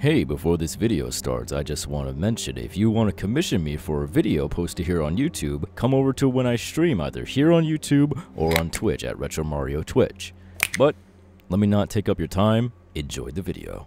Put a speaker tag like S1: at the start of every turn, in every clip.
S1: Hey, before this video starts, I just want to mention if you want to commission me for a video posted here on YouTube, come over to when I stream either here on YouTube or on Twitch at Retro Mario Twitch. But let me not take up your time, enjoy the video.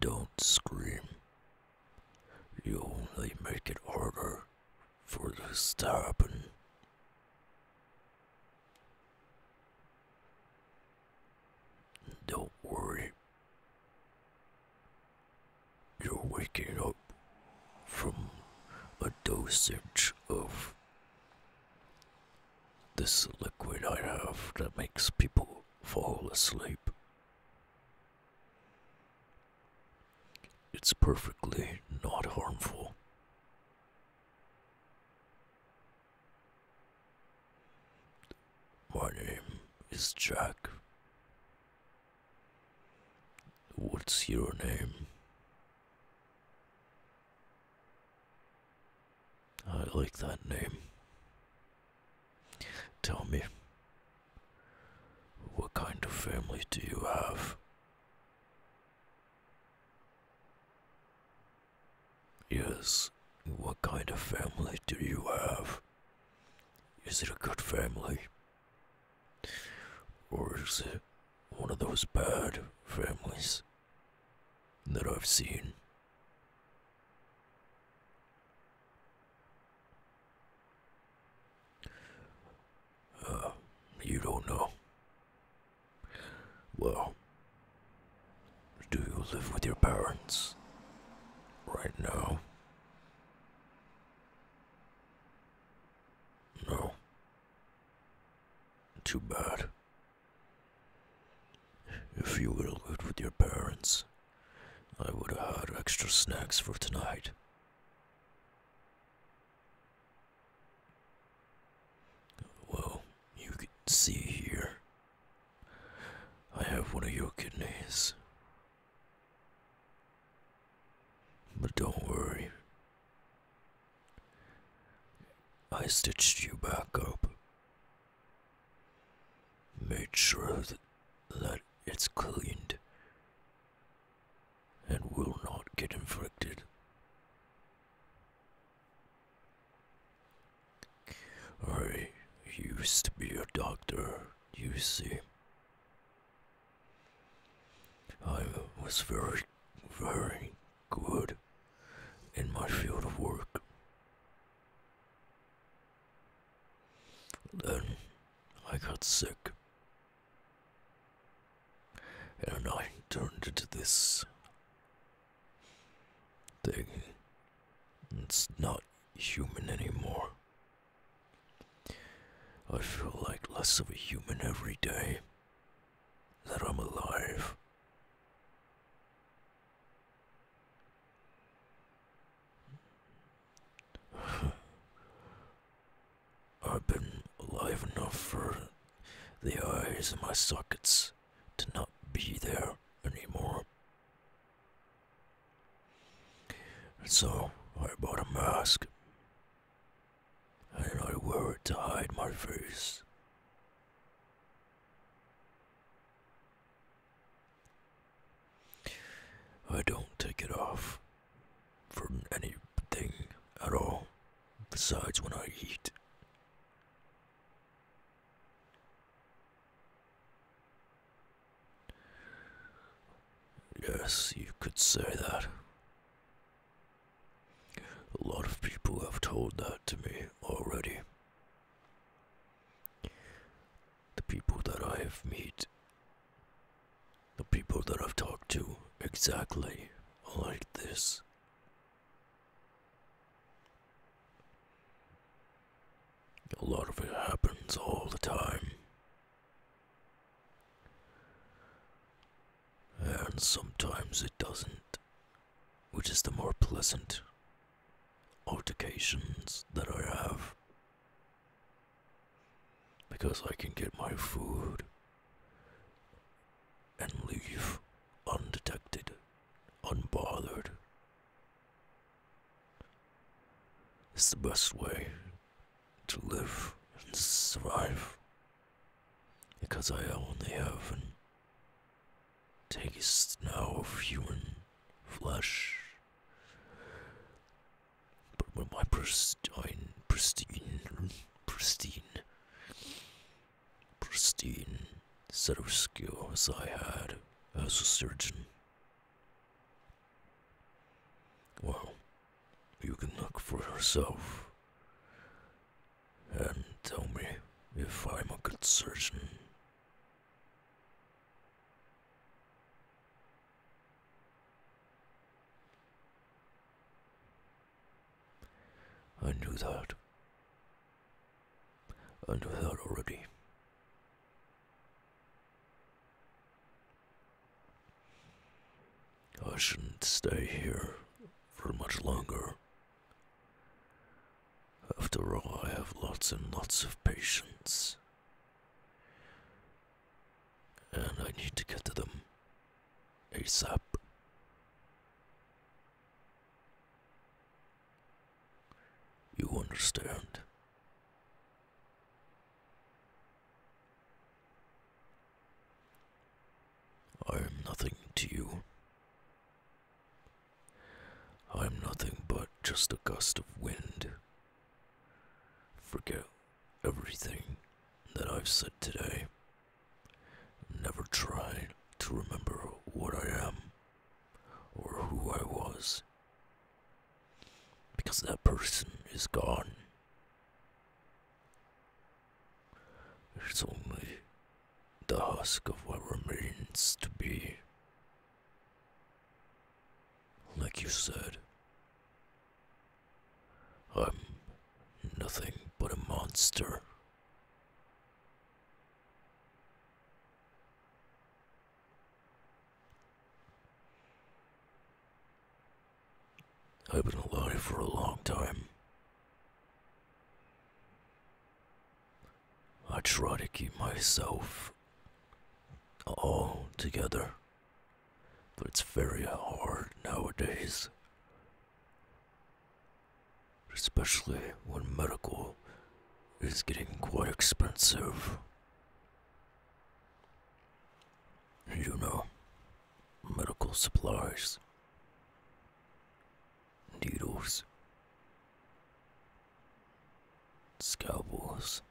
S1: Don't scream. You only make it harder for the to Don't worry. You're waking up from a dosage of this liquid I have that makes people fall asleep. It's perfectly not harmful. My name is Jack. What's your name? I like that name. Tell me, what kind of family do you have? Yes, what kind of family do you have? Is it a good family? Or is it one of those bad families that I've seen? Uh, you don't know. Well, do you live with your parents right now? No. Too bad. If you were lived with your parents, I would have had extra snacks for tonight. Well, you can see here. I have one of your kidneys. But don't worry. I stitched you back up. Made sure that, it's cleaned and will not get infected. I used to be a doctor, you see. I was very, very good in my field of work. Then I got sick. And I turned into this thing. It's not human anymore. I feel like less of a human every day that I'm alive. I've been alive enough for the eyes in my sockets to not be there anymore. And so I bought a mask and I wear it to hide my face. I don't take it off from anything at all, besides when I eat. Yes, you could say that. A lot of people have told that to me already. The people that I have met, the people that I've talked to, exactly like this. A lot of it happens all the time. And sometimes it doesn't, which is the more pleasant altercations that I have. Because I can get my food and leave undetected, unbothered, it's the best way to live and survive. Because I only have an taste now of human flesh. But when my pristine, pristine, pristine, pristine set skills I had as a surgeon well, you can look for yourself and tell me if I'm a good surgeon. I knew that. I knew that already. I shouldn't stay here for much longer. After all, I have lots and lots of patients, And I need to get to them ASAP. You understand? I am nothing to you. I am nothing but just a gust of wind. Forget everything that I've said today. Never try to remember what I am or who I was. Because that person is gone. It's only the husk of what remains to be. Like you said, I'm nothing but a monster. I've been alive for a long time. I try to keep myself all together, but it's very hard nowadays especially when medical is getting quite expensive. You know, medical supplies, needles, scalpels,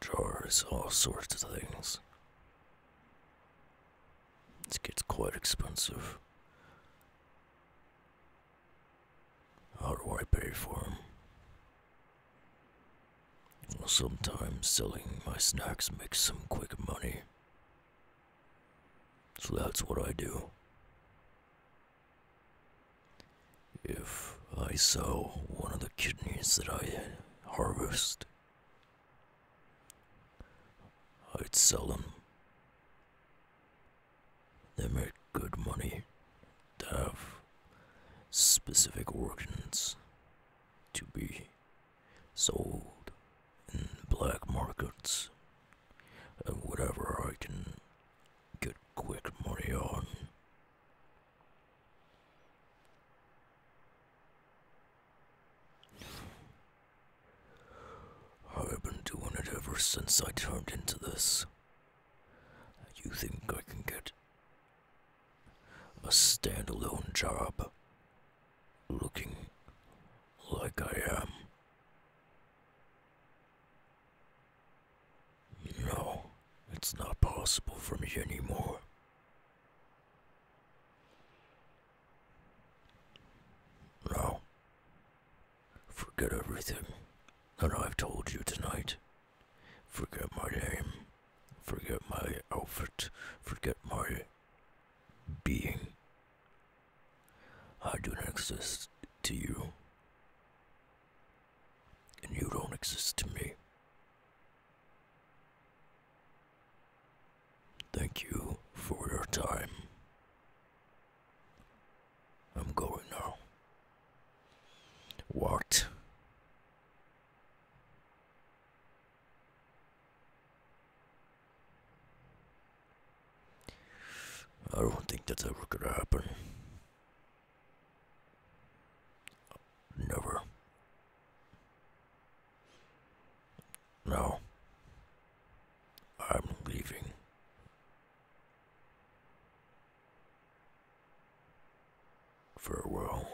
S1: jars, all sorts of things. This gets quite expensive. How do I pay for them? sometimes selling my snacks makes some quick money. So that's what I do. If I sell one of the kidneys that I harvest, I'd sell them. They make good money. They have specific organs to be sold in black markets and whatever I can get quick money on. I've been doing it ever since I turned into this. You think I can get a standalone job looking like I am? No, it's not possible for me anymore. Now, forget everything that I've told you tonight. Forget my name. Forget my outfit. Forget my being. I do not exist to you. And you don't exist to me. Thank you for your time. I'm going now. What? I don't think that's ever gonna happen. Never. No. I'm leaving. Farewell.